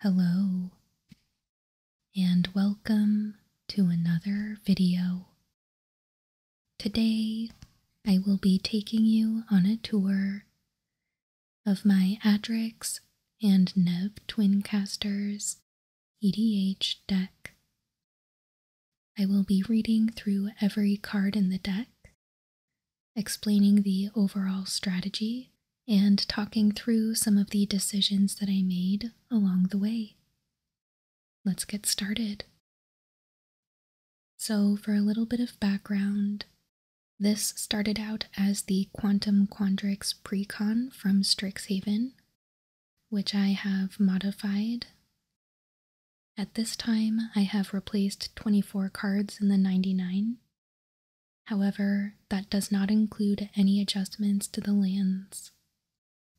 Hello, and welcome to another video. Today, I will be taking you on a tour of my Adrix and Nev Twincasters EDH deck. I will be reading through every card in the deck, explaining the overall strategy, and talking through some of the decisions that I made along the way. Let's get started. So, for a little bit of background, this started out as the Quantum Quandrix Precon from Strixhaven which I have modified. At this time, I have replaced 24 cards in the 99. However, that does not include any adjustments to the lands.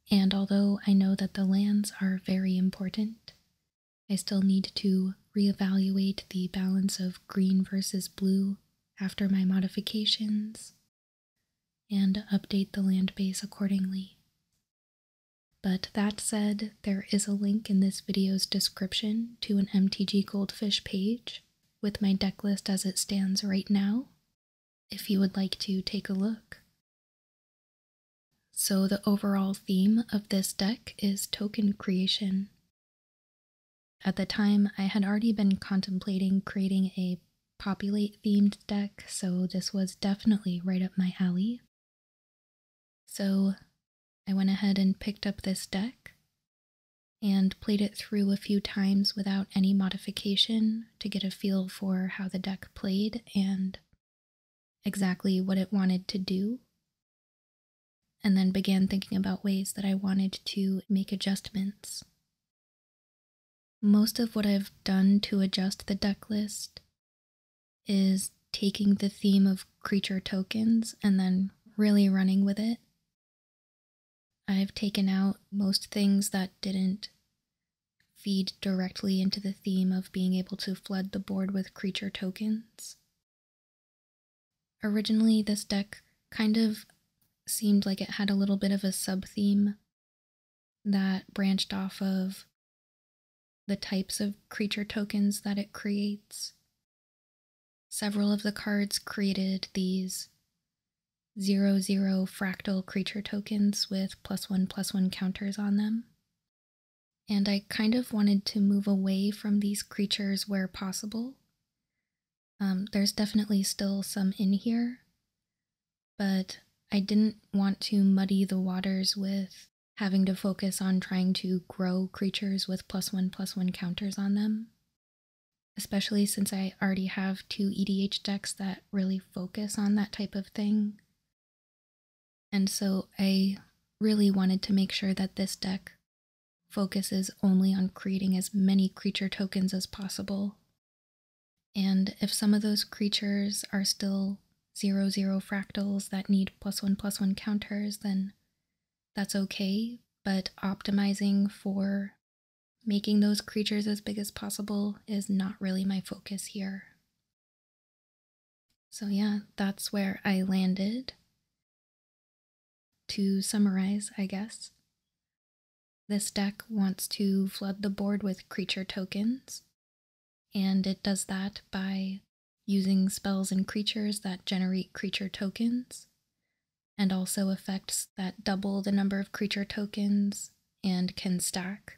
And although I know that the lands are very important, I still need to reevaluate the balance of green versus blue after my modifications and update the land base accordingly. But that said, there is a link in this video's description to an MTG Goldfish page with my deck list as it stands right now, if you would like to take a look. So the overall theme of this deck is token creation. At the time, I had already been contemplating creating a populate themed deck, so this was definitely right up my alley. So I went ahead and picked up this deck and played it through a few times without any modification to get a feel for how the deck played and exactly what it wanted to do. And then began thinking about ways that I wanted to make adjustments. Most of what I've done to adjust the deck list is taking the theme of creature tokens and then really running with it. I've taken out most things that didn't feed directly into the theme of being able to flood the board with creature tokens. Originally, this deck kind of seemed like it had a little bit of a sub theme that branched off of the types of creature tokens that it creates. Several of the cards created these 0 0 fractal creature tokens with plus 1 plus 1 counters on them. And I kind of wanted to move away from these creatures where possible. Um, there's definitely still some in here, but I didn't want to muddy the waters with having to focus on trying to grow creatures with plus one plus one counters on them. Especially since I already have two EDH decks that really focus on that type of thing. And so I really wanted to make sure that this deck focuses only on creating as many creature tokens as possible and if some of those creatures are still 0, 0 fractals that need plus 1, plus 1 counters, then that's okay, but optimizing for making those creatures as big as possible is not really my focus here. So yeah, that's where I landed. To summarize, I guess, this deck wants to flood the board with creature tokens and it does that by using spells and creatures that generate creature tokens, and also effects that double the number of creature tokens and can stack,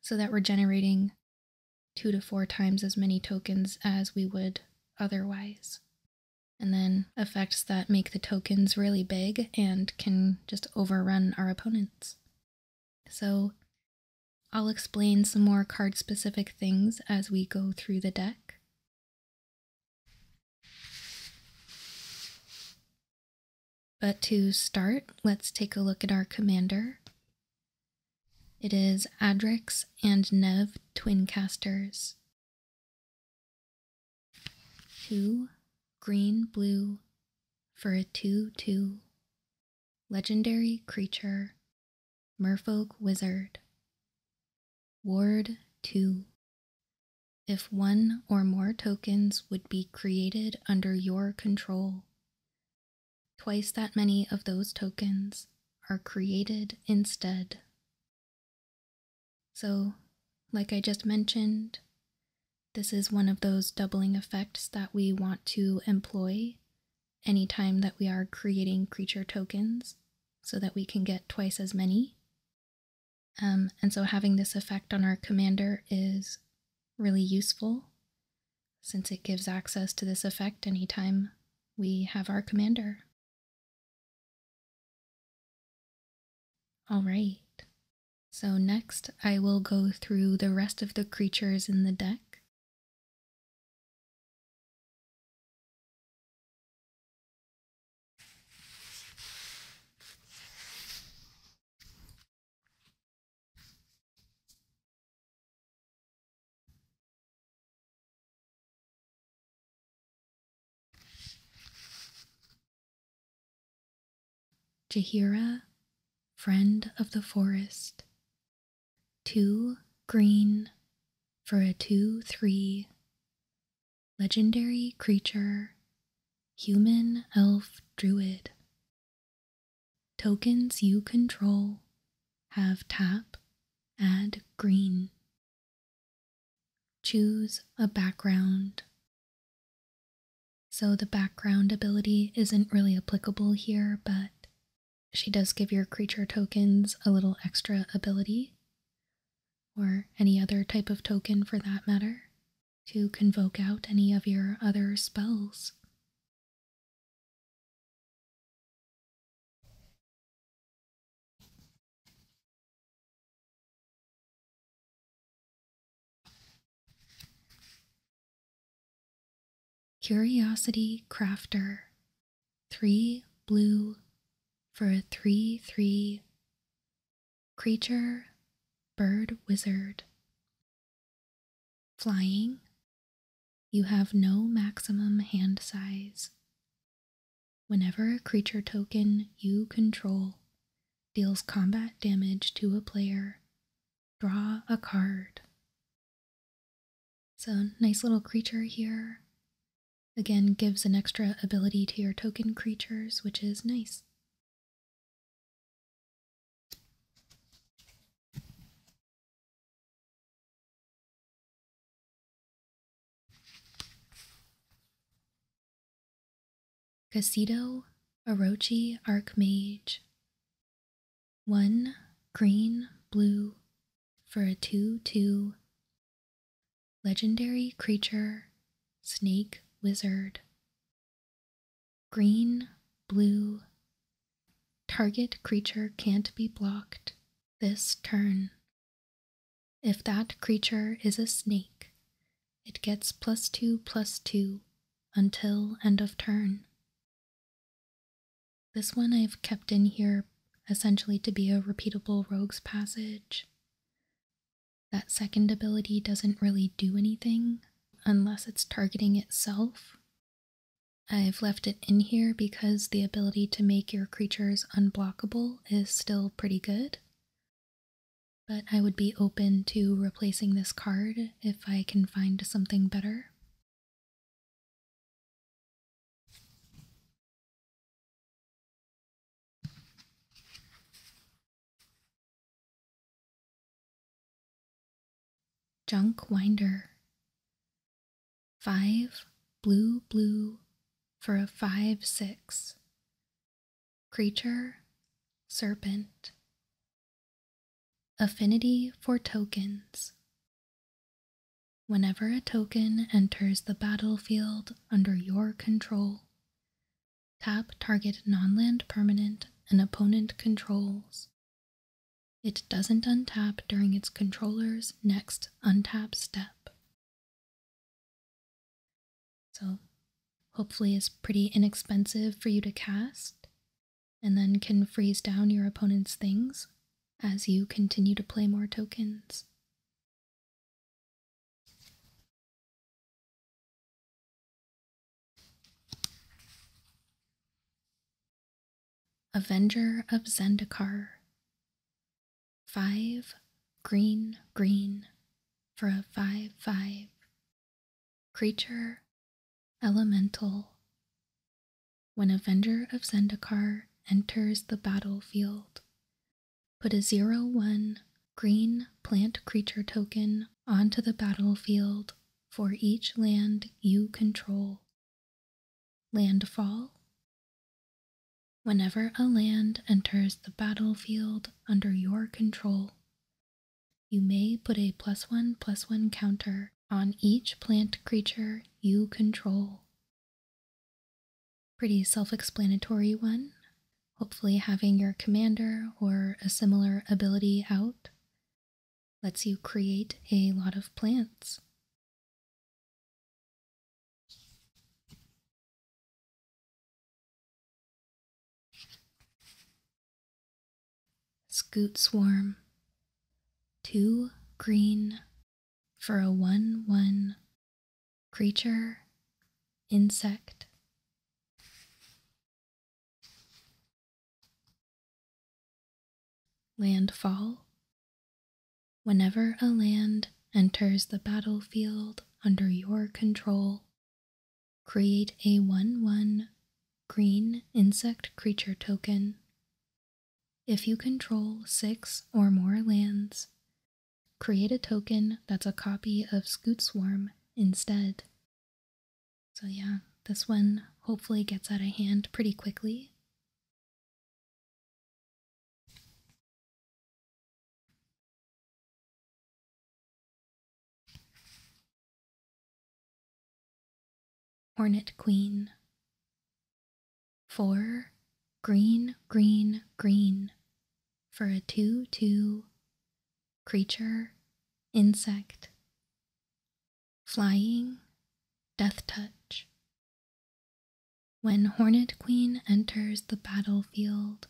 so that we're generating two to four times as many tokens as we would otherwise. And then effects that make the tokens really big and can just overrun our opponents. So I'll explain some more card specific things as we go through the deck. But to start, let's take a look at our commander. It is Adrix and Nev Twincasters, Two green, blue, for a 2 2 legendary creature, merfolk wizard. Ward 2. If one or more tokens would be created under your control, twice that many of those tokens are created instead. So, like I just mentioned, this is one of those doubling effects that we want to employ anytime that we are creating creature tokens so that we can get twice as many. Um, and so having this effect on our commander is really useful since it gives access to this effect anytime we have our commander. All right, so next I will go through the rest of the creatures in the deck. Jahira, friend of the forest. Two green for a two three. Legendary creature, human elf druid. Tokens you control have tap, add green. Choose a background so the background ability isn't really applicable here, but she does give your creature tokens a little extra ability, or any other type of token for that matter, to convoke out any of your other spells. Curiosity Crafter 3 blue for a 3 3 creature bird wizard. Flying, you have no maximum hand size. Whenever a creature token you control deals combat damage to a player, draw a card. So, nice little creature here. Again, gives an extra ability to your token creatures, which is nice. Casito Orochi Archmage. One green blue for a 2 2 legendary creature snake wizard. Green blue. Target creature can't be blocked this turn. If that creature is a snake, it gets plus 2 plus 2 until end of turn. This one I've kept in here essentially to be a repeatable rogue's passage. That second ability doesn't really do anything unless it's targeting itself. I've left it in here because the ability to make your creatures unblockable is still pretty good but I would be open to replacing this card if I can find something better. Junk Winder. Five blue blue for a five six. Creature, serpent, Affinity for tokens. Whenever a token enters the battlefield under your control, tap target nonland permanent an opponent controls. It doesn't untap during its controller's next untap step. So hopefully it's pretty inexpensive for you to cast and then can freeze down your opponent's things as you continue to play more tokens. Avenger of Zendikar. Five green green for a five five Creature, elemental. When Avenger of Zendikar enters the battlefield, put a 0 1 green plant creature token onto the battlefield for each land you control. Landfall. Whenever a land enters the battlefield under your control, you may put a plus one plus one counter on each plant creature you control. Pretty self explanatory one. Hopefully, having your commander or a similar ability out lets you create a lot of plants. Scoot Swarm. Too green for a 1 1 creature, insect. Landfall. Whenever a land enters the battlefield under your control, Create a 1 1 green insect creature token. If you control six or more lands, create a token that's a copy of Scoot Swarm instead. So, yeah, this one hopefully gets out of hand pretty quickly. Hornet Queen. Four, green, green, green, for a 2 2 creature, insect, flying, death touch. When Hornet Queen enters the battlefield,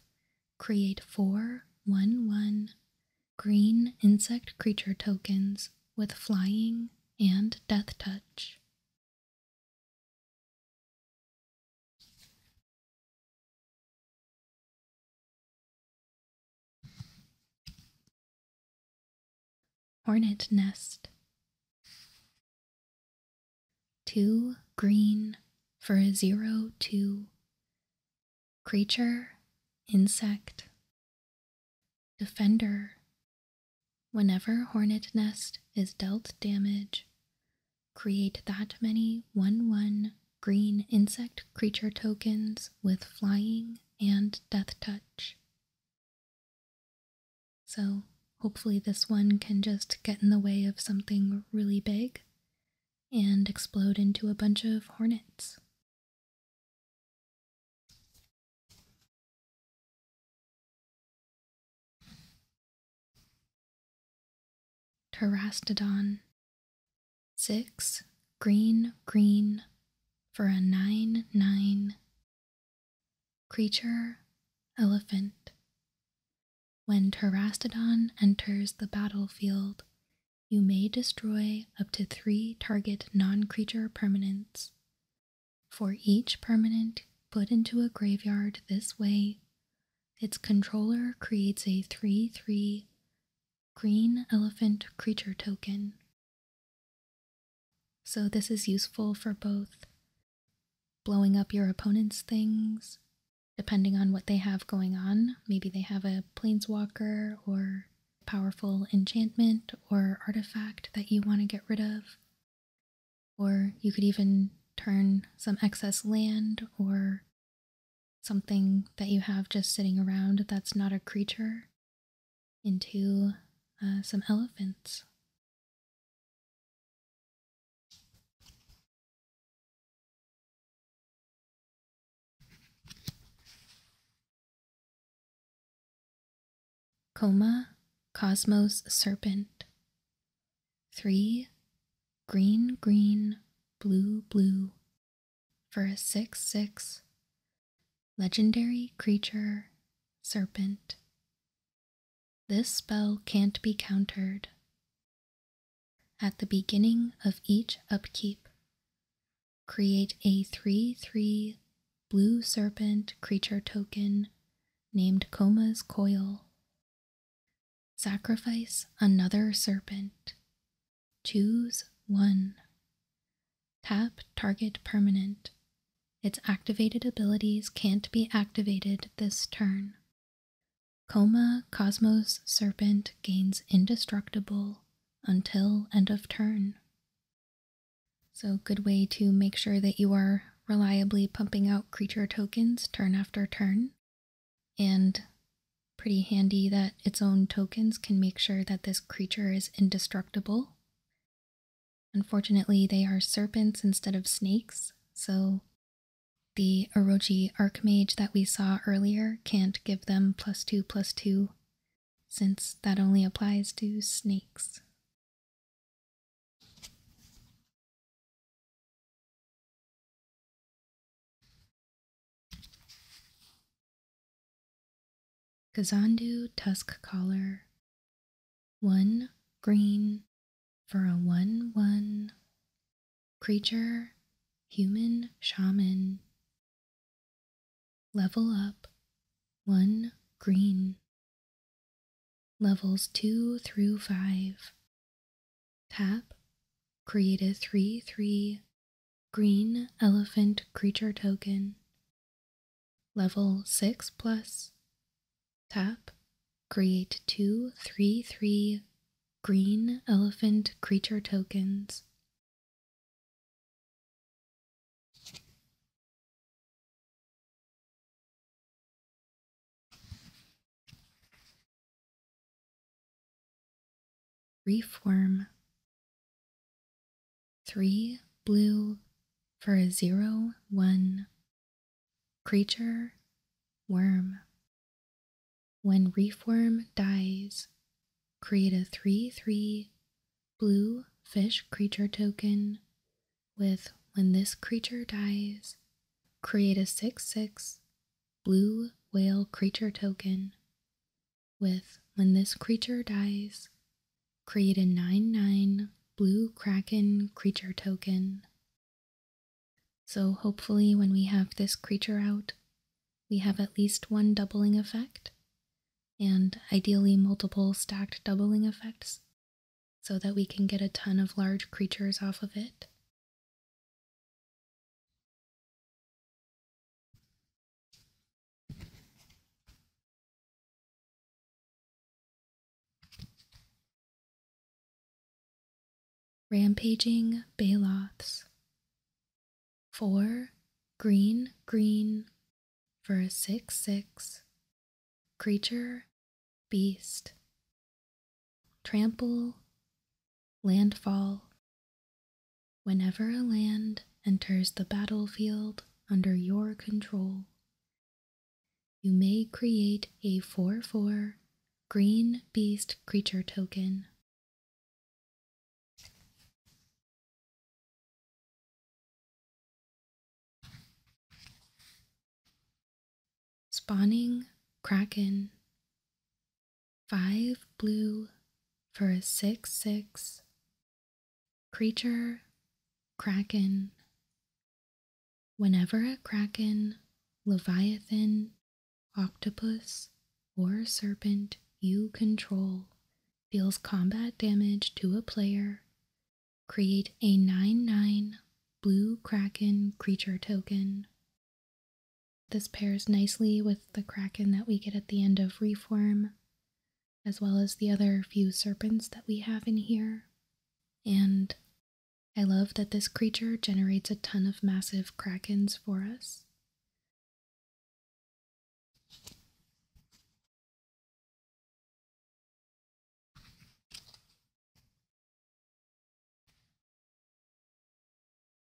create four, one, one green insect creature tokens with flying and death touch. Hornet nest. Two green for a zero two creature, insect, defender. Whenever hornet nest is dealt damage, create that many 1 1 green insect creature tokens with flying and death touch. So, hopefully, this one can just get in the way of something really big and explode into a bunch of hornets. Terastodon. Six green, green for a nine, nine. Creature, elephant. When Terastodon enters the battlefield, you may destroy up to three target non creature permanents. For each permanent put into a graveyard this way, its controller creates a 3 3 green elephant creature token. So, this is useful for both blowing up your opponent's things, depending on what they have going on. Maybe they have a planeswalker or powerful enchantment or artifact that you want to get rid of. Or you could even turn some excess land or something that you have just sitting around that's not a creature into uh, some elephants. Coma, Cosmos Serpent. Three, green, green, blue, blue. For a 6 6 legendary creature, Serpent. This spell can't be countered. At the beginning of each upkeep, create a 3 3 blue serpent creature token named Coma's Coil. Sacrifice another serpent. Choose one. Tap target permanent. Its activated abilities can't be activated this turn. Coma Cosmos Serpent gains indestructible until end of turn. So good way to make sure that you are reliably pumping out creature tokens turn after turn. And pretty handy that its own tokens can make sure that this creature is indestructible. Unfortunately, they are serpents instead of snakes, so the Orochi Archmage that we saw earlier can't give them plus two plus two since that only applies to snakes. Kazandu Tusk Collar. One green for a 1 1. Creature, human shaman, Level up 1 green. Levels 2 through 5. Tap, create a 3 3 green elephant creature token. Level 6 plus. Tap, create 2 green elephant creature tokens Reform. Three blue for a zero one. Creature, worm. When reef worm dies, create a 3 3 blue fish creature token with when this creature dies, create a 6 6 blue whale creature token with when this creature dies, create a 9 9 blue kraken creature token. So hopefully when we have this creature out, we have at least one doubling effect, and ideally multiple stacked doubling effects, so that we can get a ton of large creatures off of it. Rampaging Baloths. 4 green green for a 6 6 creature beast trample landfall whenever a land enters the battlefield under your control you may create a 4 4 green beast creature token Spawning Kraken. Five blue for a six six. Creature Kraken. Whenever a kraken, leviathan, octopus, or serpent you control deals combat damage to a player, create a 9 9 blue kraken creature token. This pairs nicely with the kraken that we get at the end of Reform, as well as the other few serpents that we have in here. And I love that this creature generates a ton of massive krakens for us.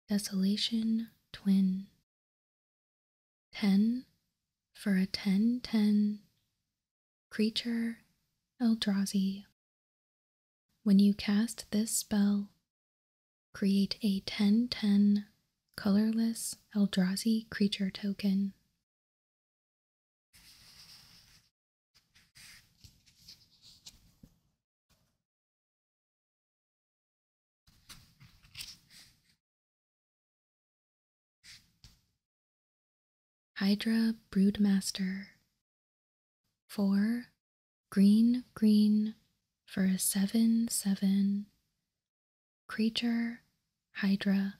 Desolation Twin. 10 for a ten ten, 10 creature Eldrazi. When you cast this spell, Create a 10-10 colorless Eldrazi creature token. Hydra Broodmaster. Four green, green for a 7 7 creature, hydra,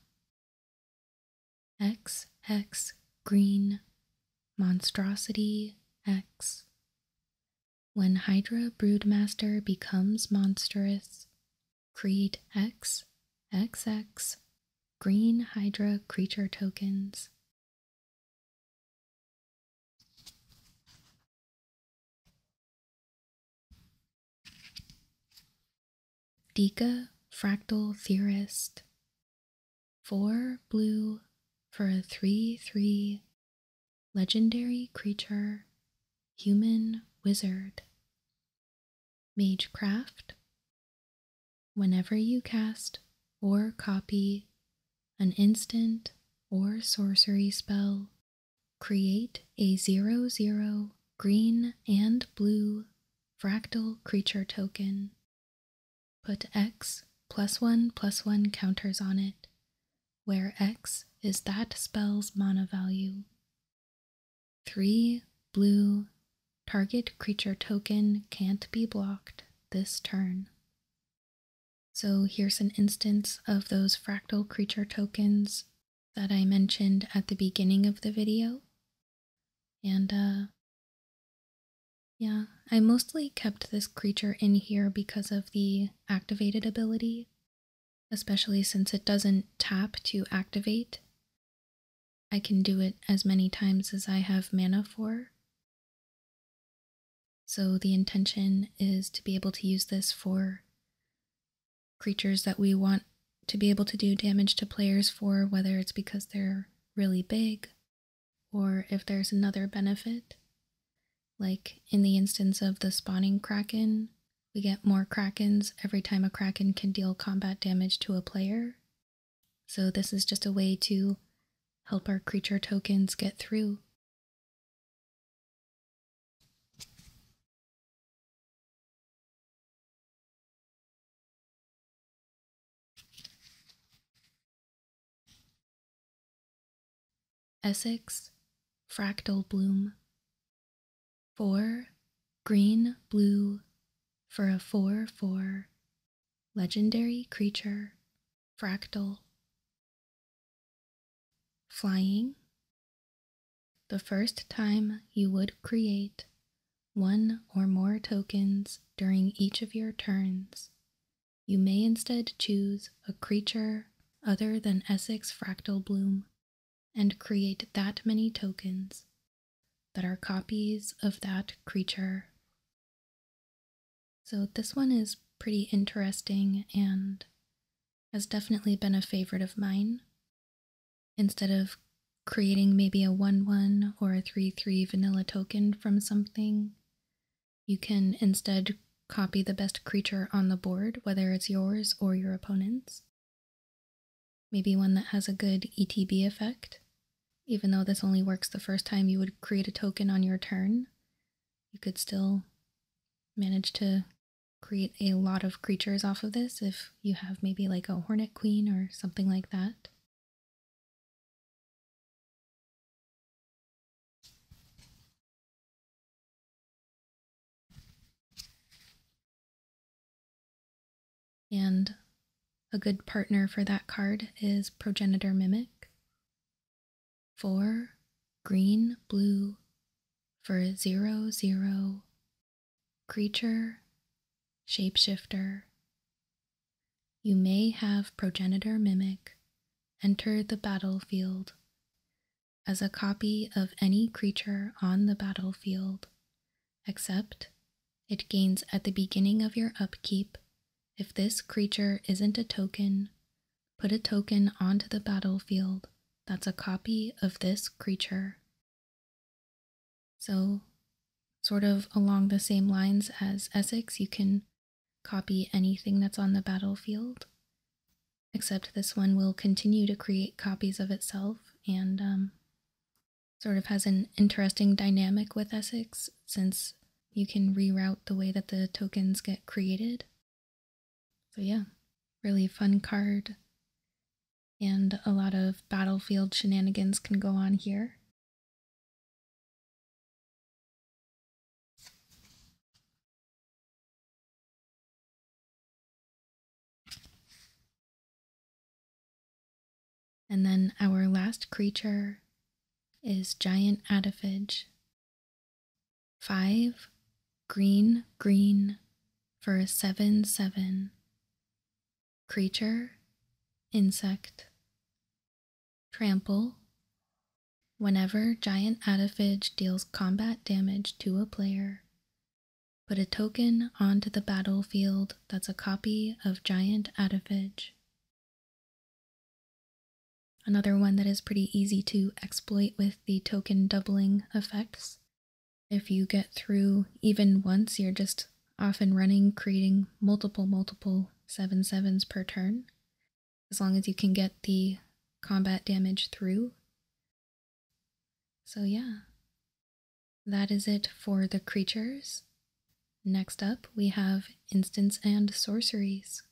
X, X green, monstrosity, X. When Hydra Broodmaster becomes monstrous, create X, X X green Hydra creature tokens. Deka fractal theorist. Four blue for a 3 3 legendary creature, human wizard. Magecraft. Whenever you cast or copy an instant or sorcery spell, Create a 00, zero green and blue fractal creature token. Put x plus 1 plus 1 counters on it, where x is that spell's mana value. 3 blue target creature token can't be blocked this turn. So here's an instance of those fractal creature tokens that I mentioned at the beginning of the video. And uh, yeah, I mostly kept this creature in here because of the activated ability, especially since it doesn't tap to activate. I can do it as many times as I have mana for. So the intention is to be able to use this for creatures that we want to be able to do damage to players for, whether it's because they're really big or if there's another benefit. Like in the instance of the spawning kraken, we get more krakens every time a kraken can deal combat damage to a player. So this is just a way to help our creature tokens get through Essex, fractal bloom. Four, green, blue, for a four, four, legendary creature, fractal, Flying. The first time you would create one or more tokens during each of your turns, you may instead choose a creature other than Essex Fractal Bloom and create that many tokens that are copies of that creature. So this one is pretty interesting and has definitely been a favorite of mine. Instead of creating maybe a 1 1 or a 3 3 vanilla token from something, you can instead copy the best creature on the board, whether it's yours or your opponent's. Maybe one that has a good ETB effect. Even though this only works the first time you would create a token on your turn, you could still manage to create a lot of creatures off of this if you have maybe like a hornet queen or something like that. And a good partner for that card is Progenitor Mimic. Four green blue for zero zero creature shapeshifter. You may have progenitor mimic enter the battlefield as a copy of any creature on the battlefield, except it gains at the beginning of your upkeep if this creature isn't a token Put a token onto the battlefield that's a copy of this creature. So, sort of along the same lines as Essex, you can copy anything that's on the battlefield, except this one will continue to create copies of itself and um, sort of has an interesting dynamic with Essex since you can reroute the way that the tokens get created. So, yeah, really fun card. And a lot of battlefield shenanigans can go on here. And then our last creature is Giant Adifage, Five, green, green for a seven, seven. Creature, insect. Trample. Whenever Giant Adafage deals combat damage to a player, put a token onto the battlefield that's a copy of Giant Adafage. Another one that is pretty easy to exploit with the token doubling effects. If you get through even once, you're just off and running, creating multiple, multiple seven sevens per turn, as long as you can get the combat damage through. So, yeah, that is it for the creatures. Next up, we have instants and sorceries.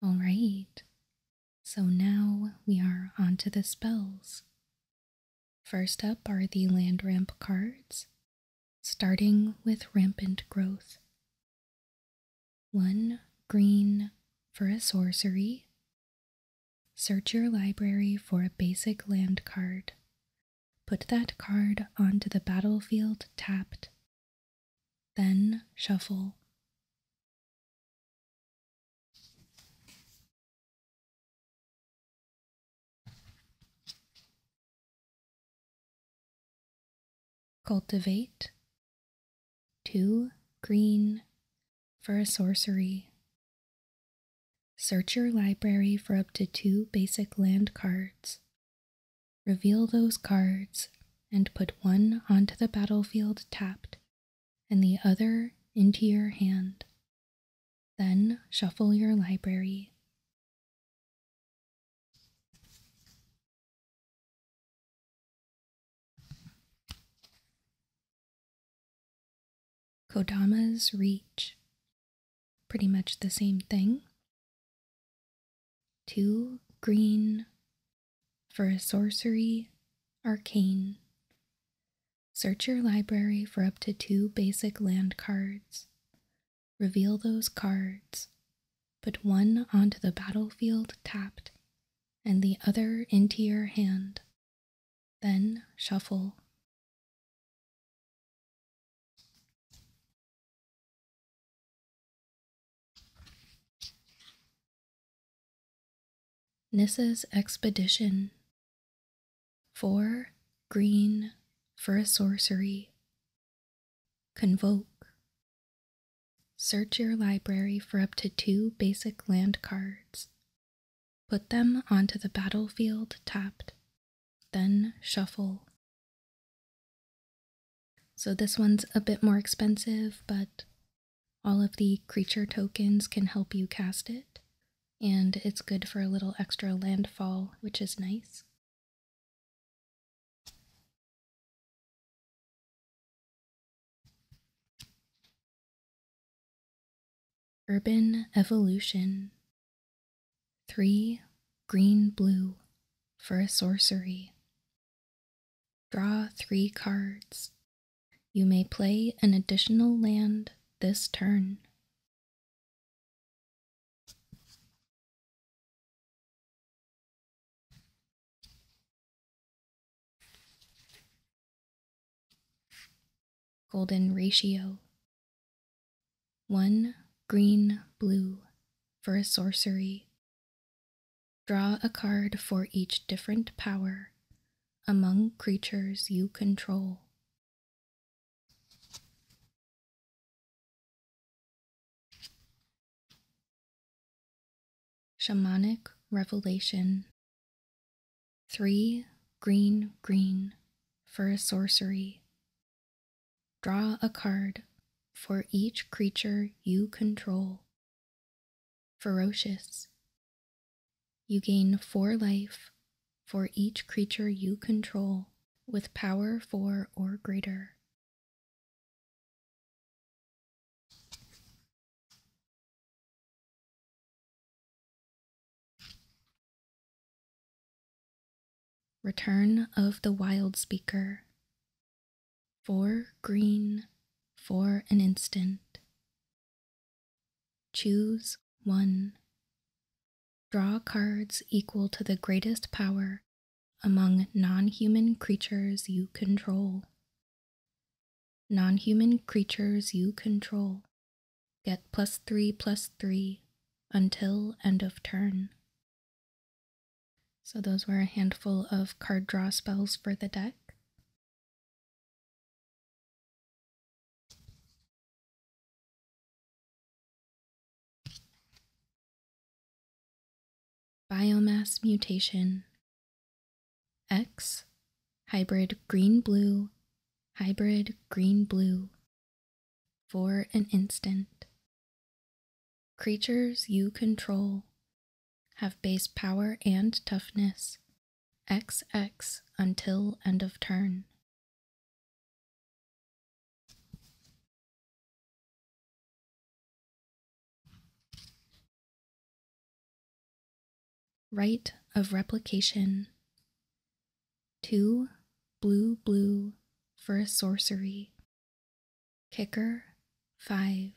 All right, so now we are onto the spells. First up are the land ramp cards, starting with Rampant Growth. One green for a sorcery. Search your library for a basic land card. Put that card onto the battlefield tapped. Then shuffle. Cultivate two green for a sorcery. Search your library for up to two basic land cards. Reveal those cards and put one onto the battlefield tapped and the other into your hand. Then shuffle your library. Kodama's Reach. Pretty much the same thing. Two green for a sorcery arcane. Search your library for up to two basic land cards. Reveal those cards. Put one onto the battlefield tapped and the other into your hand. Then shuffle. Nissa's Expedition Four green for a sorcery. Convoke. Search your library for up to two basic land cards. Put them onto the battlefield tapped, then shuffle. So this one's a bit more expensive, but all of the creature tokens can help you cast it and it's good for a little extra landfall, which is nice. Urban Evolution 3 Green Blue for a sorcery. Draw three cards. You may play an additional land this turn Golden ratio. One green blue for a sorcery. Draw a card for each different power among creatures you control Shamanic Revelation. Three green, green for a sorcery. Draw a card for each creature you control. Ferocious you gain four life for each creature you control with power four or greater. Return of the Wild Speaker. Four green for an instant. Choose one. Draw cards equal to the greatest power among non human creatures you control. Non human creatures you control get plus three plus three until end of turn. So, those were a handful of card draw spells for the deck. Biomass mutation X hybrid green blue, hybrid green blue. For an instant. Creatures you control have base power and toughness, XX until end of turn. Right of replication. Two blue blue for a sorcery. Kicker five.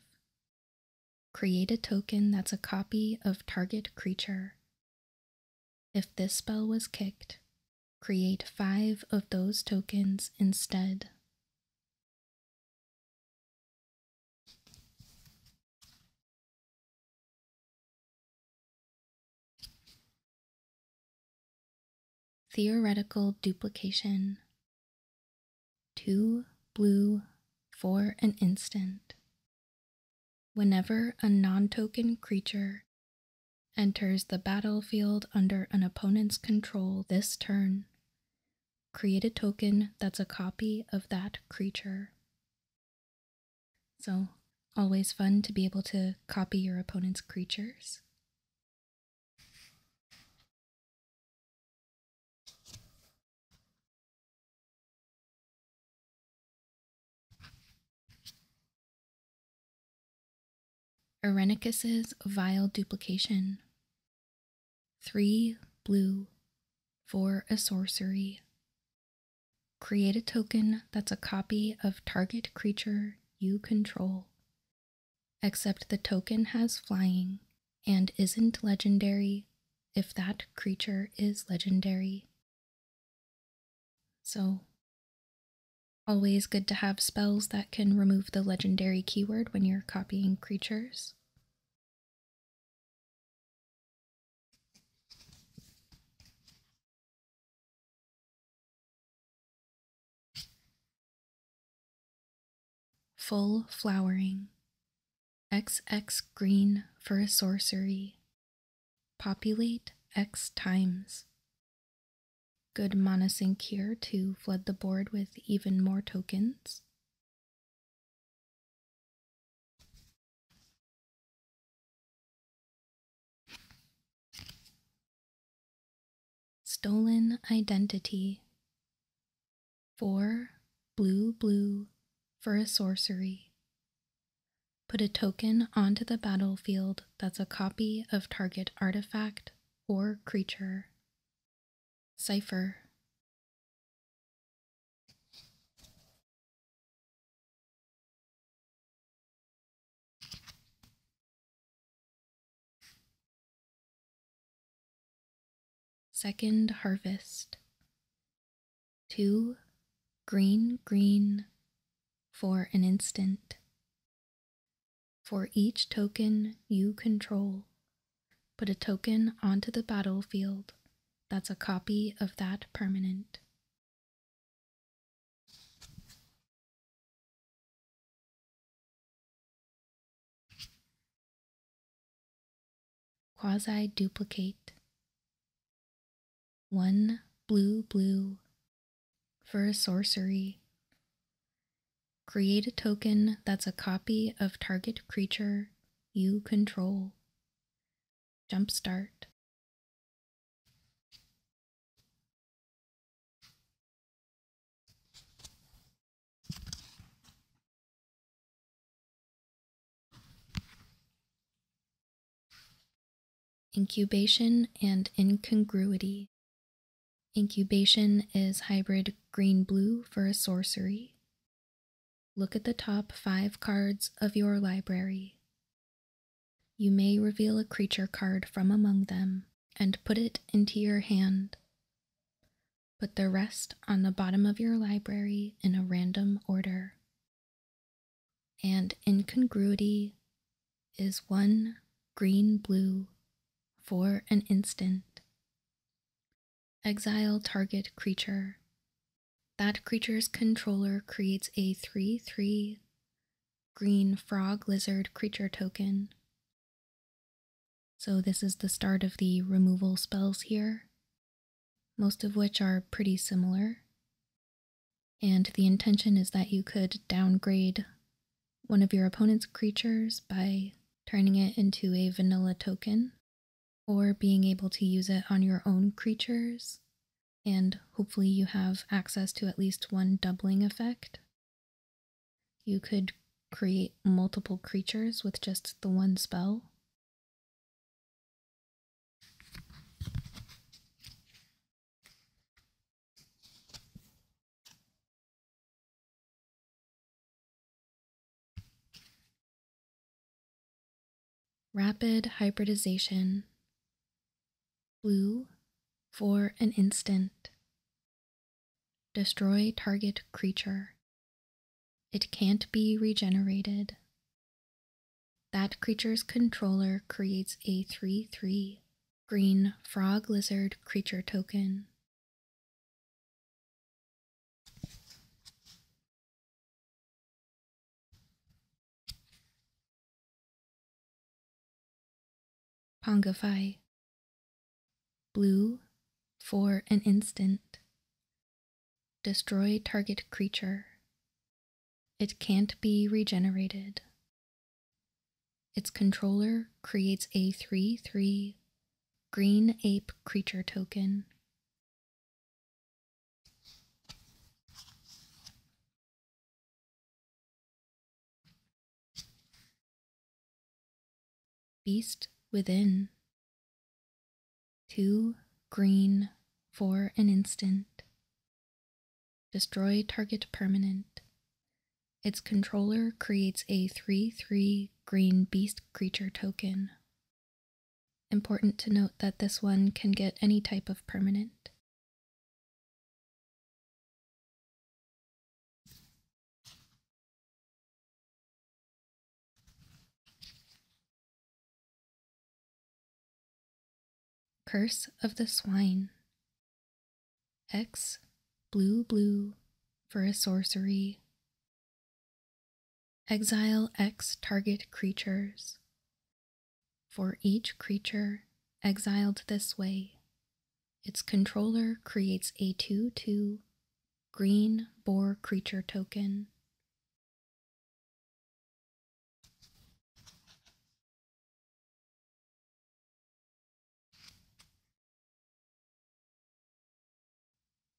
Create a token that's a copy of target creature if this spell was kicked, create five of those tokens instead. Theoretical duplication. Two blue for an instant Whenever a non token creature enters the battlefield under an opponent's control this turn, create a token that's a copy of that creature. So, always fun to be able to copy your opponent's creatures. Irenicus's vile duplication. Three blue for a sorcery. Create a token that's a copy of target creature you control, except the token has flying and isn't legendary if that creature is legendary. So, always good to have spells that can remove the legendary keyword when you're copying creatures. Full Flowering. X X green for a sorcery, Populate X times. Good monosync here to flood the board with even more tokens. Stolen Identity. Four blue blue for a sorcery. Put a token onto the battlefield that's a copy of target artifact or creature. Cipher. Second Harvest Two green, green for an instant. For each token you control, put a token onto the battlefield that's a copy of that permanent. Quasi duplicate. One blue, blue for a sorcery. Create a token that's a copy of target creature you control. Jump start. Incubation and incongruity. Incubation is hybrid green blue for a sorcery. Look at the top five cards of your library. You may reveal a creature card from among them and put it into your hand. Put the rest on the bottom of your library in a random order and incongruity is one green blue for an instant. Exile target creature. That creature's controller creates a 3 3 green frog lizard creature token. So, this is the start of the removal spells here, most of which are pretty similar, and the intention is that you could downgrade one of your opponent's creatures by turning it into a vanilla token, or being able to use it on your own creatures, and hopefully you have access to at least one doubling effect. You could create multiple creatures with just the one spell. Rapid hybridization. Blue for an instant. Destroy target creature. It can't be regenerated that creature's controller creates a 3 3 green frog lizard creature token. Pongify. Blue for an instant. Destroy target creature. It can't be regenerated. Its controller creates a 3 3 green ape creature token. Beast Within. Two green for an instant. Destroy target permanent. Its controller creates a 3 3 green beast creature token. Important to note that this one can get any type of permanent. Curse of the Swine. X blue blue for a sorcery. Exile X target creatures. For each creature exiled this way, its controller creates a 2 2 green boar creature token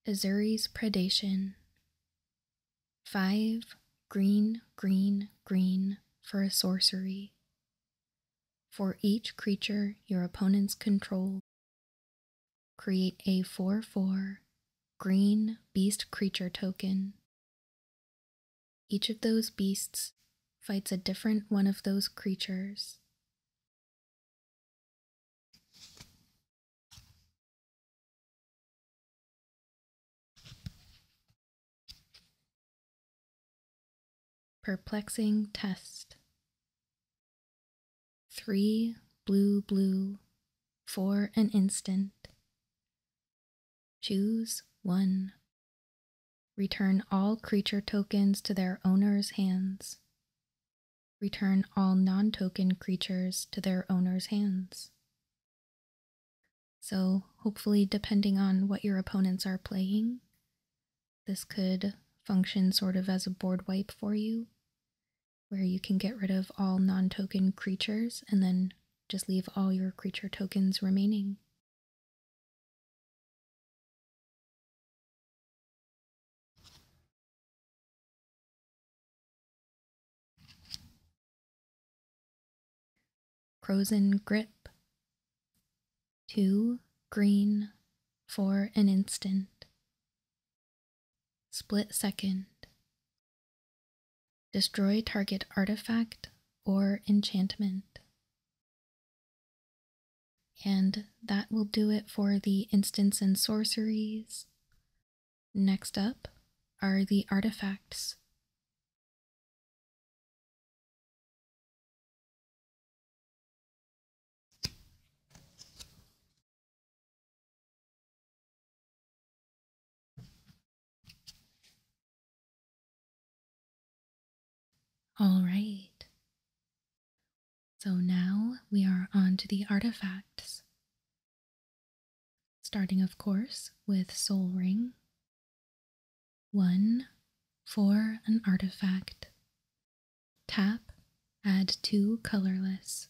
Azuri's predation. Five green, green, green for a sorcery. For each creature your opponents control, create a 4 4 green beast creature token each of those beasts fights a different one of those creatures. Perplexing test. Three blue, blue, for an instant. Choose one. Return all creature tokens to their owner's hands. Return all non-token creatures to their owner's hands. So hopefully depending on what your opponents are playing, this could function sort of as a board wipe for you, where you can get rid of all non-token creatures and then just leave all your creature tokens remaining. Frozen Grip. Two green for an instant. Split second Destroy target artifact or enchantment. And that will do it for the instants and sorceries. Next up are the artifacts. All right. So now we are on to the artifacts. Starting, of course, with Soul Ring. One for an artifact. Tap, add two colorless.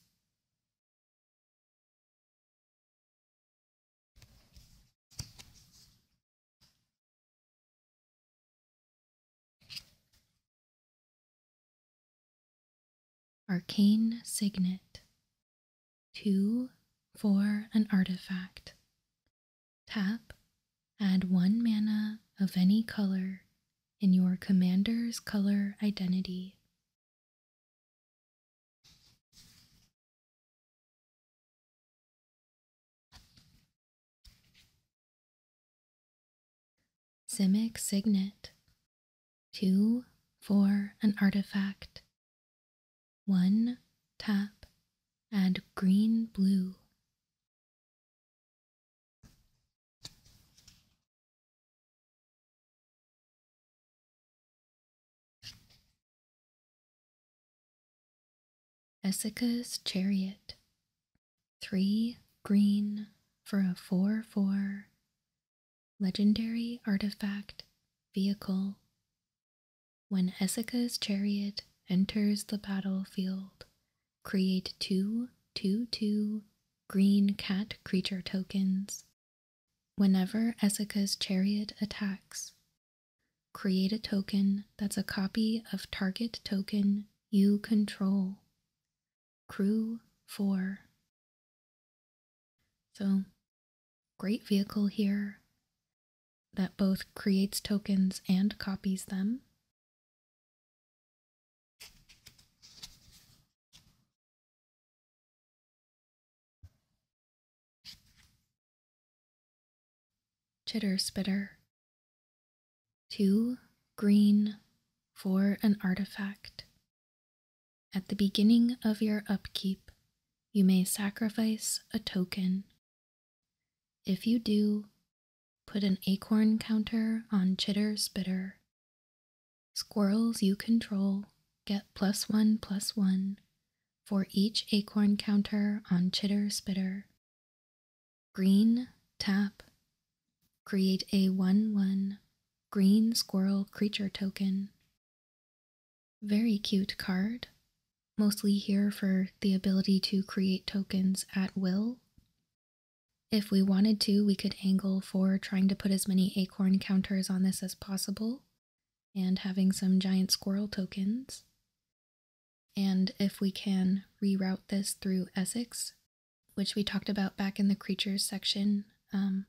Arcane Signet. Two for an artifact. Tap, add one mana of any color in your commander's color identity Simic Signet. Two for an artifact. One tap. Add green blue. Essica's Chariot. Three green for a 4 4 legendary artifact vehicle. When Essica's Chariot enters the battlefield, create two two two green cat creature tokens Whenever Essica's chariot attacks, create a token that's a copy of target token you control. Crew 4. So, great vehicle here that both creates tokens and copies them. Chitter Spitter. Two green for an artifact. At the beginning of your upkeep, you may sacrifice a token. If you do, put an acorn counter on Chitter Spitter. Squirrels you control get plus one plus one for each acorn counter on Chitter Spitter. Green tap. Create a 1 1 green squirrel creature token. Very cute card, mostly here for the ability to create tokens at will. If we wanted to, we could angle for trying to put as many acorn counters on this as possible, and having some giant squirrel tokens. And if we can reroute this through Essex, which we talked about back in the creatures section, um,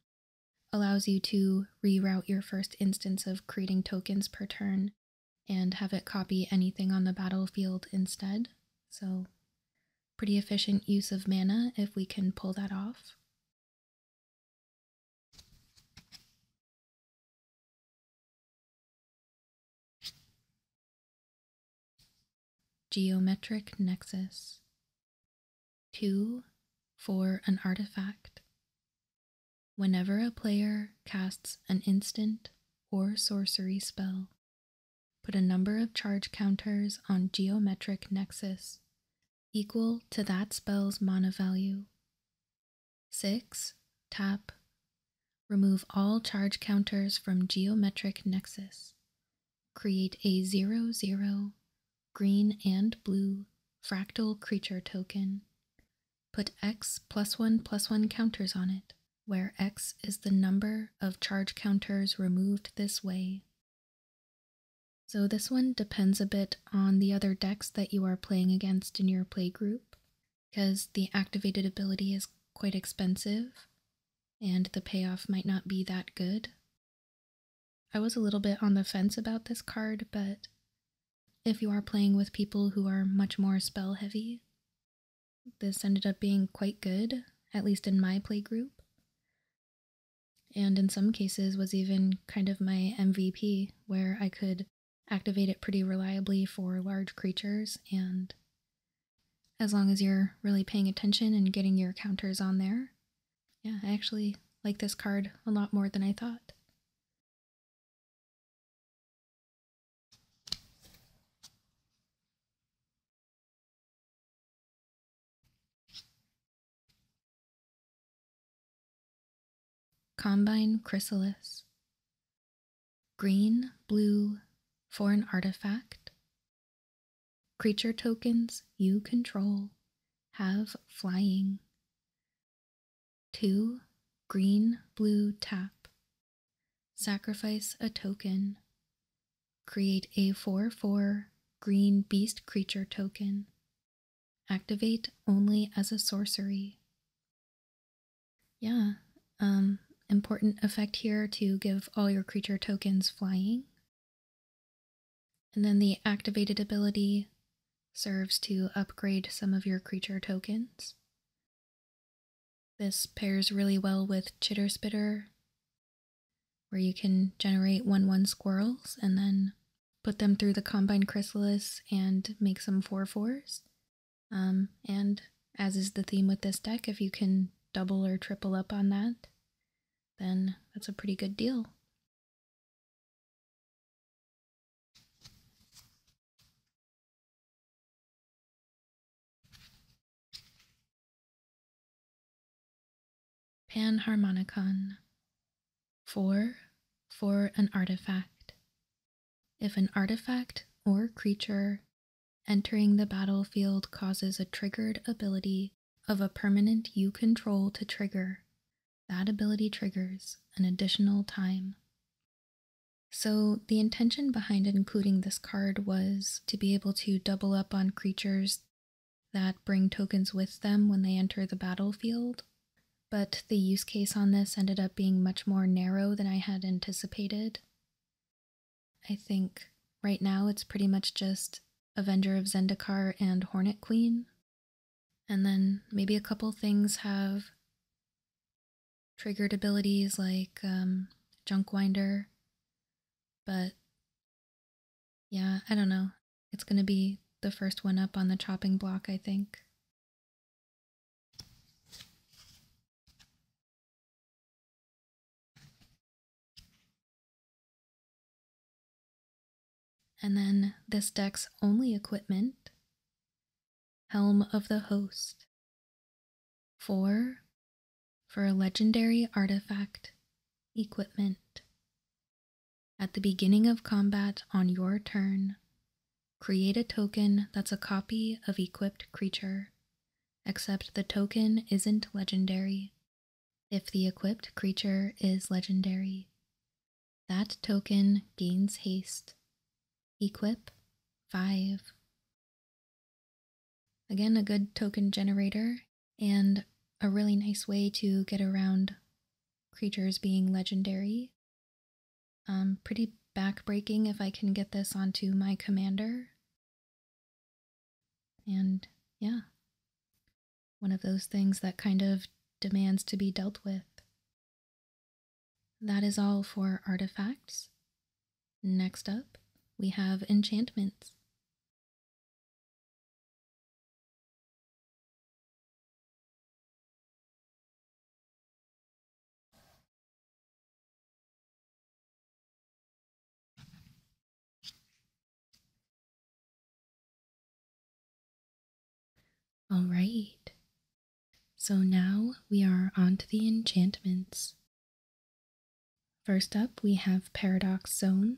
allows you to reroute your first instance of creating tokens per turn and have it copy anything on the battlefield instead. So, pretty efficient use of mana if we can pull that off. Geometric nexus. Two for an artifact. Whenever a player casts an instant or sorcery spell, put a number of charge counters on Geometric Nexus equal to that spell's mana value. 6. Tap. Remove all charge counters from Geometric Nexus. Create a 0 0 green and blue fractal creature token. Put X plus 1 plus 1 counters on it, where X is the number of charge counters removed this way. So this one depends a bit on the other decks that you are playing against in your play group, because the activated ability is quite expensive, and the payoff might not be that good. I was a little bit on the fence about this card, but if you are playing with people who are much more spell heavy, this ended up being quite good, at least in my play group, And in some cases was even kind of my MVP where I could activate it pretty reliably for large creatures, and as long as you're really paying attention and getting your counters on there, yeah, I actually like this card a lot more than I thought. Combine chrysalis, green, blue, foreign artifact, creature tokens you control have flying. Two, green, blue tap, sacrifice a token, create a 4 4 green beast creature token Activate only as a sorcery. Yeah, um, important effect here to give all your creature tokens flying. And then the activated ability serves to upgrade some of your creature tokens. This pairs really well with Chitter Spitter, where you can generate 1 1 squirrels and then put them through the combine chrysalis and make some four fours. Um, and as is the theme with this deck, if you can double or triple up on that, then that's a pretty good deal. Panharmonicon. For, For an artifact. If an artifact or creature entering the battlefield causes a triggered ability of a permanent you control to trigger, that ability triggers an additional time. So, the intention behind including this card was to be able to double up on creatures that bring tokens with them when they enter the battlefield but the use case on this ended up being much more narrow than I had anticipated. I think right now it's pretty much just Avenger of Zendikar and Hornet Queen. And then maybe a couple things have triggered abilities like um, Junk Winder. But yeah, I don't know. It's going to be the first one up on the chopping block, I think. And then this deck's only equipment Helm of the Host. Four for a legendary artifact equipment. At the beginning of combat on your turn, create a token that's a copy of equipped creature, except the token isn't legendary. If the equipped creature is legendary, that token gains haste. Equip 5. Again, a good token generator and a really nice way to get around creatures being legendary um, pretty backbreaking if I can get this onto my commander. And yeah, one of those things that kind of demands to be dealt with. That is all for artifacts. Next up, we have enchantments. All right. So now we are on to the enchantments. First up, we have Paradox Zone.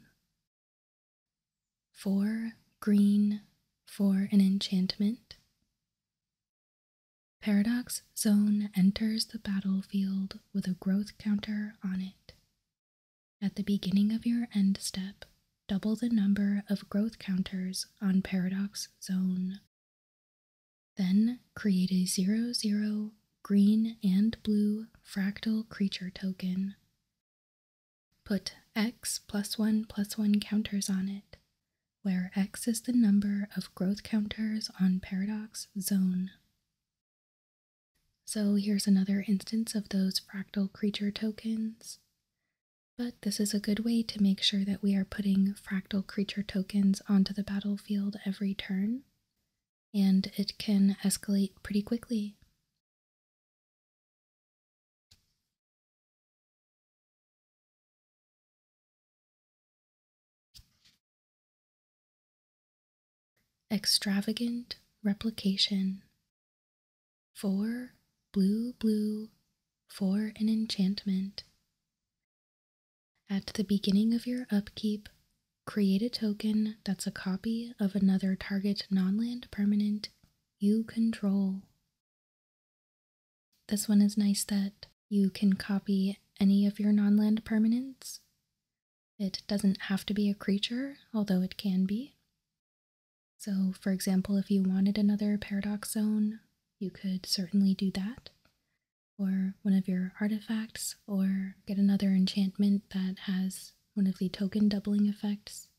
For green for an enchantment. Paradox Zone enters the battlefield with a growth counter on it. At the beginning of your end step, double the number of growth counters on Paradox Zone. Then create a 0 0 green and blue fractal creature token Put x plus 1 plus 1 counters on it, where x is the number of growth counters on paradox zone. So here's another instance of those fractal creature tokens. But this is a good way to make sure that we are putting fractal creature tokens onto the battlefield every turn, and it can escalate pretty quickly Extravagant replication. For blue, blue for an enchantment. At the beginning of your upkeep, create a token that's a copy of another target nonland permanent you control this one is nice that you can copy any of your non-land permanents. It doesn't have to be a creature, although it can be. So, for example, if you wanted another paradox zone, you could certainly do that, or one of your artifacts, or get another enchantment that has one of the token doubling effects,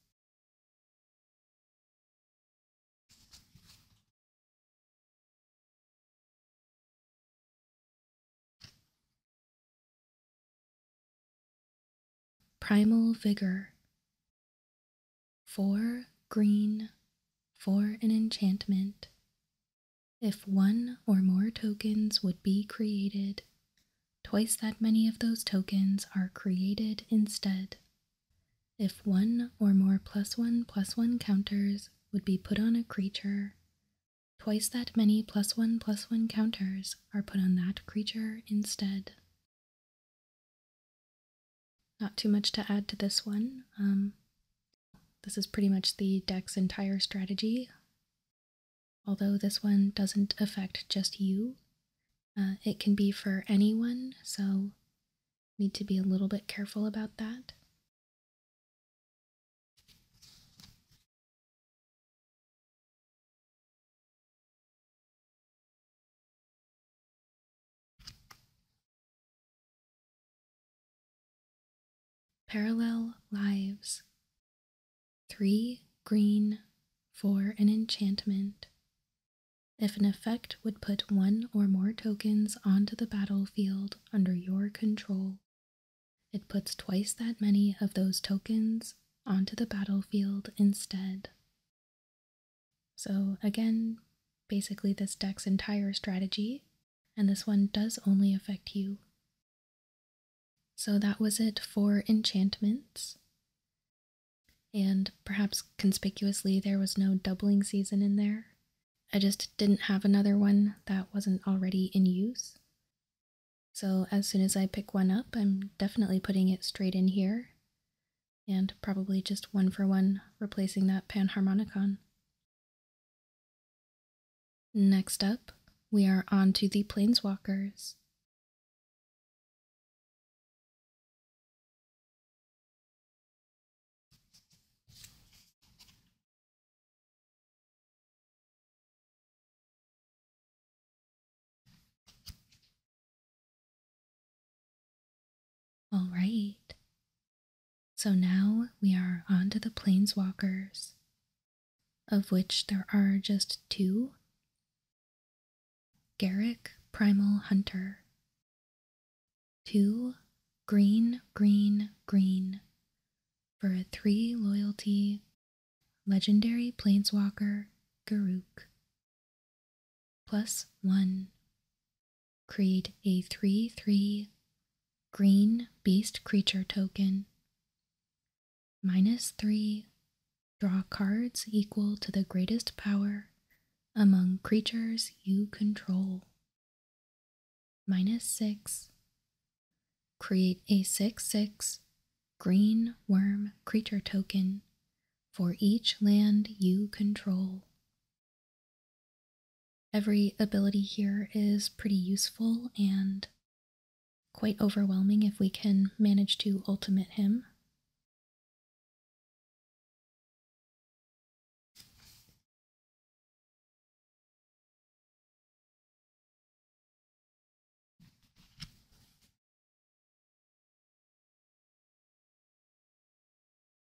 Primal Vigor. For green for an enchantment. If one or more tokens would be created, twice that many of those tokens are created instead if one or more plus one plus one counters would be put on a creature, twice that many plus one plus one counters are put on that creature instead. Not too much to add to this one. Um, this is pretty much the deck's entire strategy. Although this one doesn't affect just you, uh, it can be for anyone, so need to be a little bit careful about that. Parallel Lives. Three green for an enchantment if an effect would put one or more tokens onto the battlefield under your control, it puts twice that many of those tokens onto the battlefield instead. So, again, basically this deck's entire strategy, and this one does only affect you. So, that was it for enchantments. And perhaps conspicuously, there was no doubling season in there. I just didn't have another one that wasn't already in use. So as soon as I pick one up, I'm definitely putting it straight in here, and probably just one for one replacing that panharmonicon. Next up, we are on to the Planeswalkers, all right. So now we are on to the planeswalkers, of which there are just two Garrick Primal Hunter. Two green, green, green for a three loyalty legendary plainswalker Garuk. Plus one. Create a 3 3 green beast creature token. Minus three Draw cards equal to the greatest power among creatures you control. Minus 6. Create a 6 6 green worm creature token for each land you control. Every ability here is pretty useful and quite overwhelming if we can manage to ultimate him.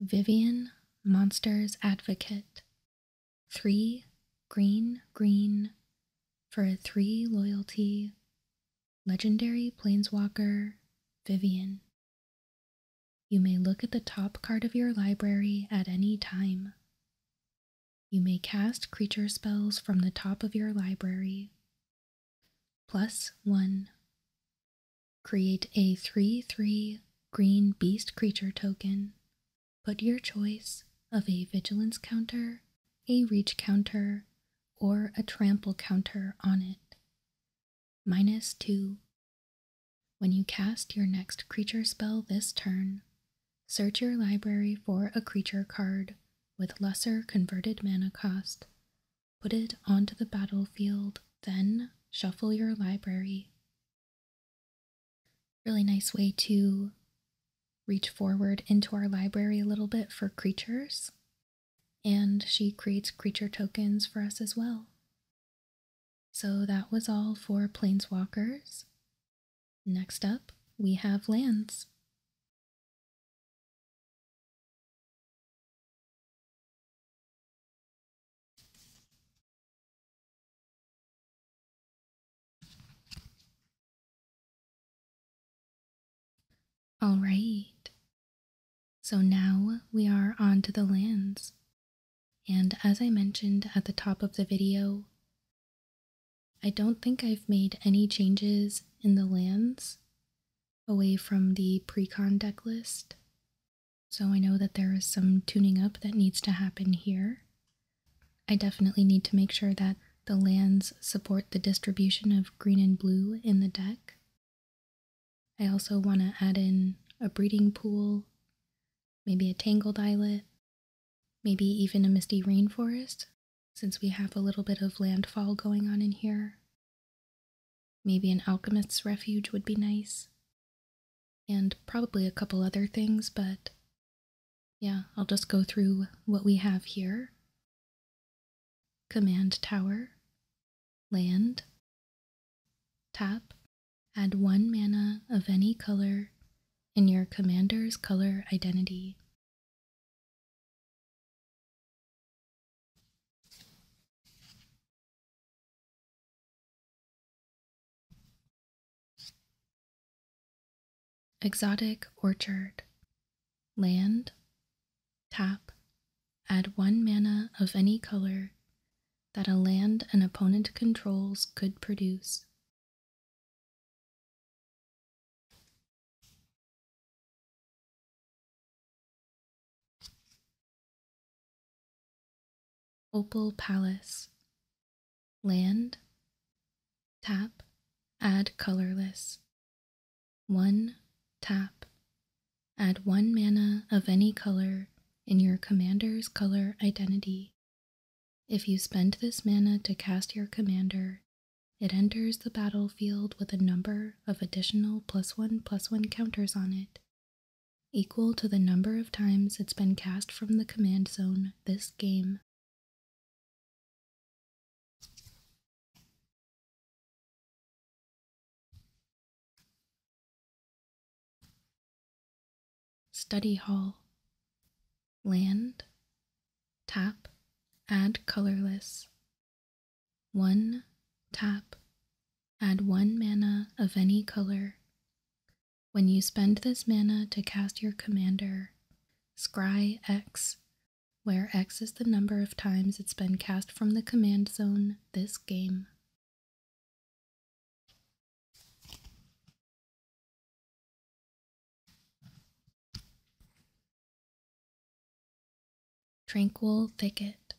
Vivian Monsters Advocate. Three green, green for a three loyalty Legendary Plainswalker, Vivian. You may look at the top card of your library at any time. You may cast creature spells from the top of your library. Plus 1. Create a 3 3 green beast creature token. Put your choice of a vigilance counter, a reach counter, or a trample counter on it. Minus 2. When you cast your next creature spell this turn, search your library for a creature card with lesser converted mana cost. Put it onto the battlefield, then shuffle your library. Really nice way to reach forward into our library a little bit for creatures and she creates creature tokens for us as well. So that was all for Planeswalkers. Next up, we have lands. All right. So now we are on to the lands. And as I mentioned at the top of the video, I don't think I've made any changes in the lands away from the precon deck list. So I know that there is some tuning up that needs to happen here. I definitely need to make sure that the lands support the distribution of green and blue in the deck I also want to add in a breeding pool, maybe a tangled islet, maybe even a misty rainforest, since we have a little bit of landfall going on in here. Maybe an alchemist's refuge would be nice. And probably a couple other things, but yeah, I'll just go through what we have here Command Tower, Land. Tap, add one mana of any color in your commander's color identity. Exotic Orchard Land Tap. Add one mana of any color that a land an opponent controls could produce. Opal Palace. Land. Tap. Add colorless. 1. Tap. Add 1 mana of any color in your commander's color identity. If you spend this mana to cast your commander, it enters the battlefield with a number of additional plus 1 plus 1 counters on it, equal to the number of times it's been cast from the command zone this game. Study Hall. Land. Tap. Add colorless. 1. Tap. Add 1 mana of any color. When you spend this mana to cast your commander, scry X where x is the number of times it's been cast from the command zone this game. Tranquil Thicket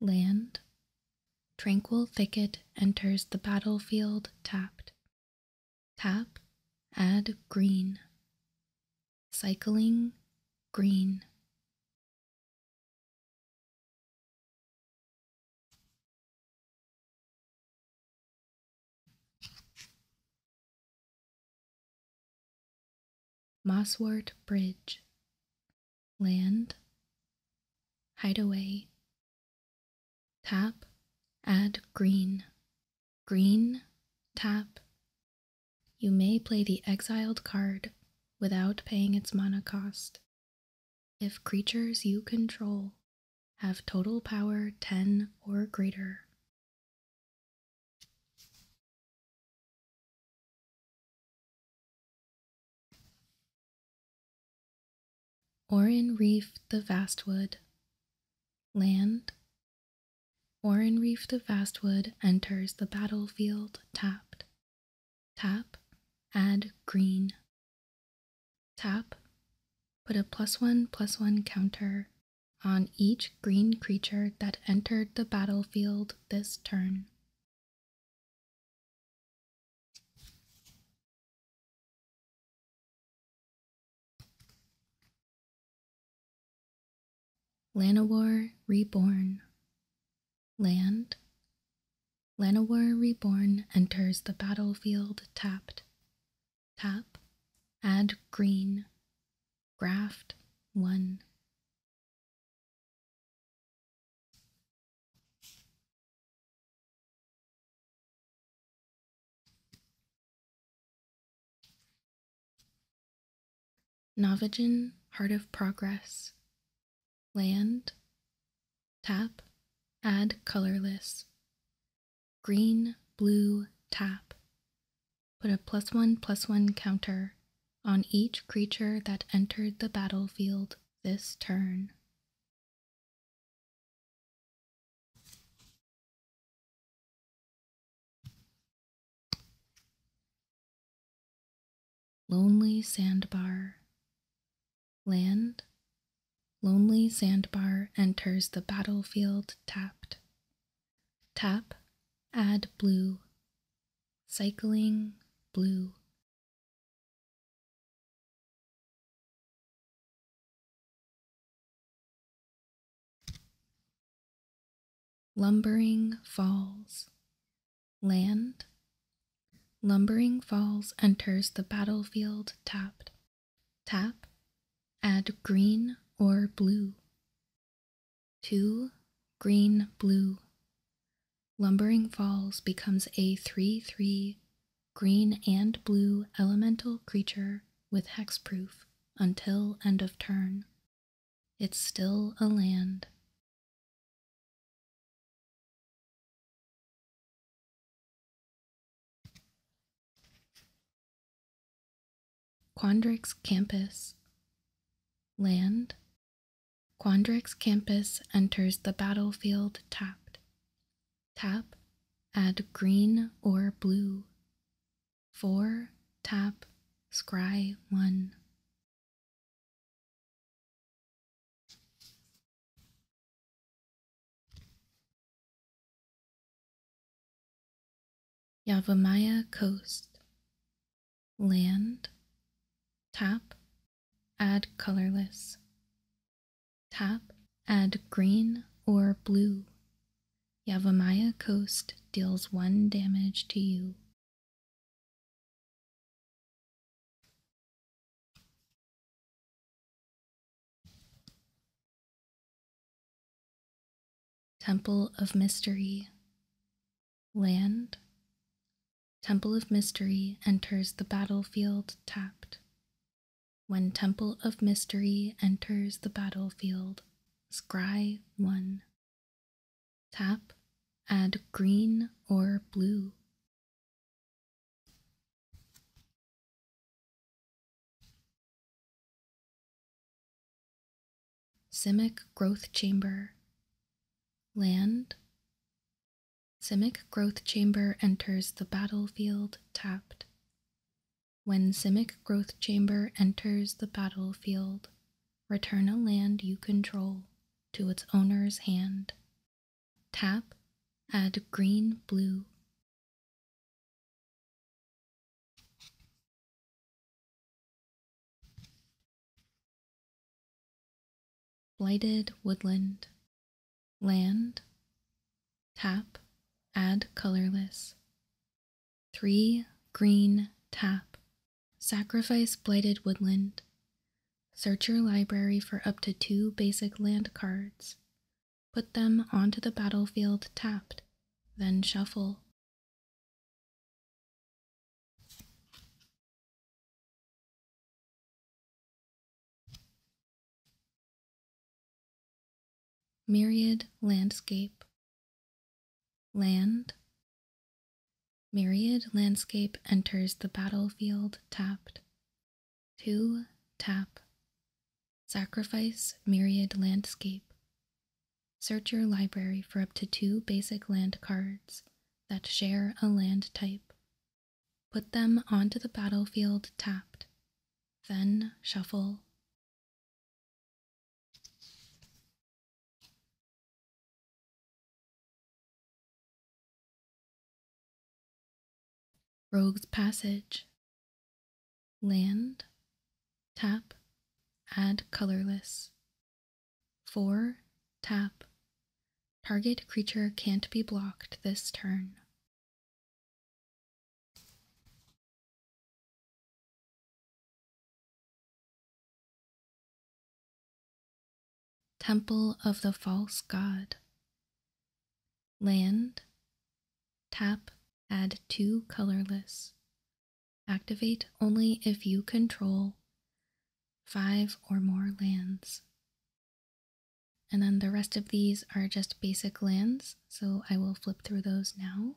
Land Tranquil Thicket enters the battlefield tapped. Tap Add Green Cycling Green. Mosswort Bridge. Land. Hideaway. Tap. Add green. Green. Tap. You may play the exiled card without paying its mana cost. If creatures you control have total power 10 or greater. or in Reef the Vastwood. Land, Orenreef the Fastwood enters the battlefield tapped. Tap, add green. Tap, put a plus one plus one counter on each green creature that entered the battlefield this turn. Lanawar Reborn Land Lanawar Reborn enters the battlefield tapped. Tap, add green, graft 1. Navajan Heart of Progress. Land. Tap. Add colorless. Green, blue, tap. Put a plus one plus one counter on each creature that entered the battlefield this turn. Lonely Sandbar. Land. Lonely Sandbar enters the battlefield tapped. Tap. Add blue. Cycling blue. Lumbering Falls. Land. Lumbering Falls enters the battlefield tapped. Tap. Add green or blue. 2. Green Blue. Lumbering Falls becomes a 3 3 green and blue elemental creature with hexproof until end of turn. It's still a land. Quandrix Campus Land Quandrix Campus enters the battlefield tapped. Tap, add green or blue. 4 tap scry 1. Yavamaya Coast. Land. Tap. Add colorless. Tap. Add green or blue. Yavamaya Coast deals 1 damage to you Temple of Mystery, Land. Temple of Mystery enters the battlefield tapped. When Temple of Mystery enters the battlefield, scry 1. Tap, add green or blue. Simic Growth Chamber. Land. Simic Growth Chamber enters the battlefield tapped. When Simic Growth Chamber enters the battlefield, Return a land you control to its owner's hand. Tap Add green blue. Blighted woodland. Land. Tap. Add colorless. Three green tap. Sacrifice blighted woodland. Search your library for up to two basic land cards. Put them onto the battlefield tapped, then shuffle. Myriad Landscape Land. Myriad landscape enters the battlefield tapped. Two tap. Sacrifice myriad landscape. Search your library for up to two basic land cards that share a land type. Put them onto the battlefield tapped. Then shuffle. Rogue's Passage. Land. Tap. Add colorless. 4. Tap. Target creature can't be blocked this turn. Temple of the False God. Land. Tap Add 2 colorless. Activate only if you control 5 or more lands. And then the rest of these are just basic lands, so I will flip through those now.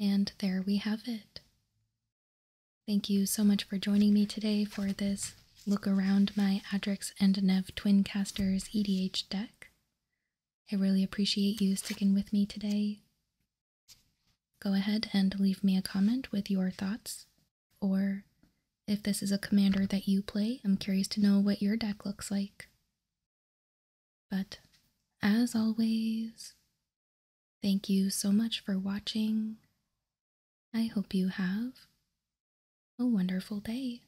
And there we have it. Thank you so much for joining me today for this look around my Adrix and Nev Twincasters EDH deck. I really appreciate you sticking with me today. Go ahead and leave me a comment with your thoughts or, if this is a commander that you play, I'm curious to know what your deck looks like. But, as always, thank you so much for watching. I hope you have a wonderful day.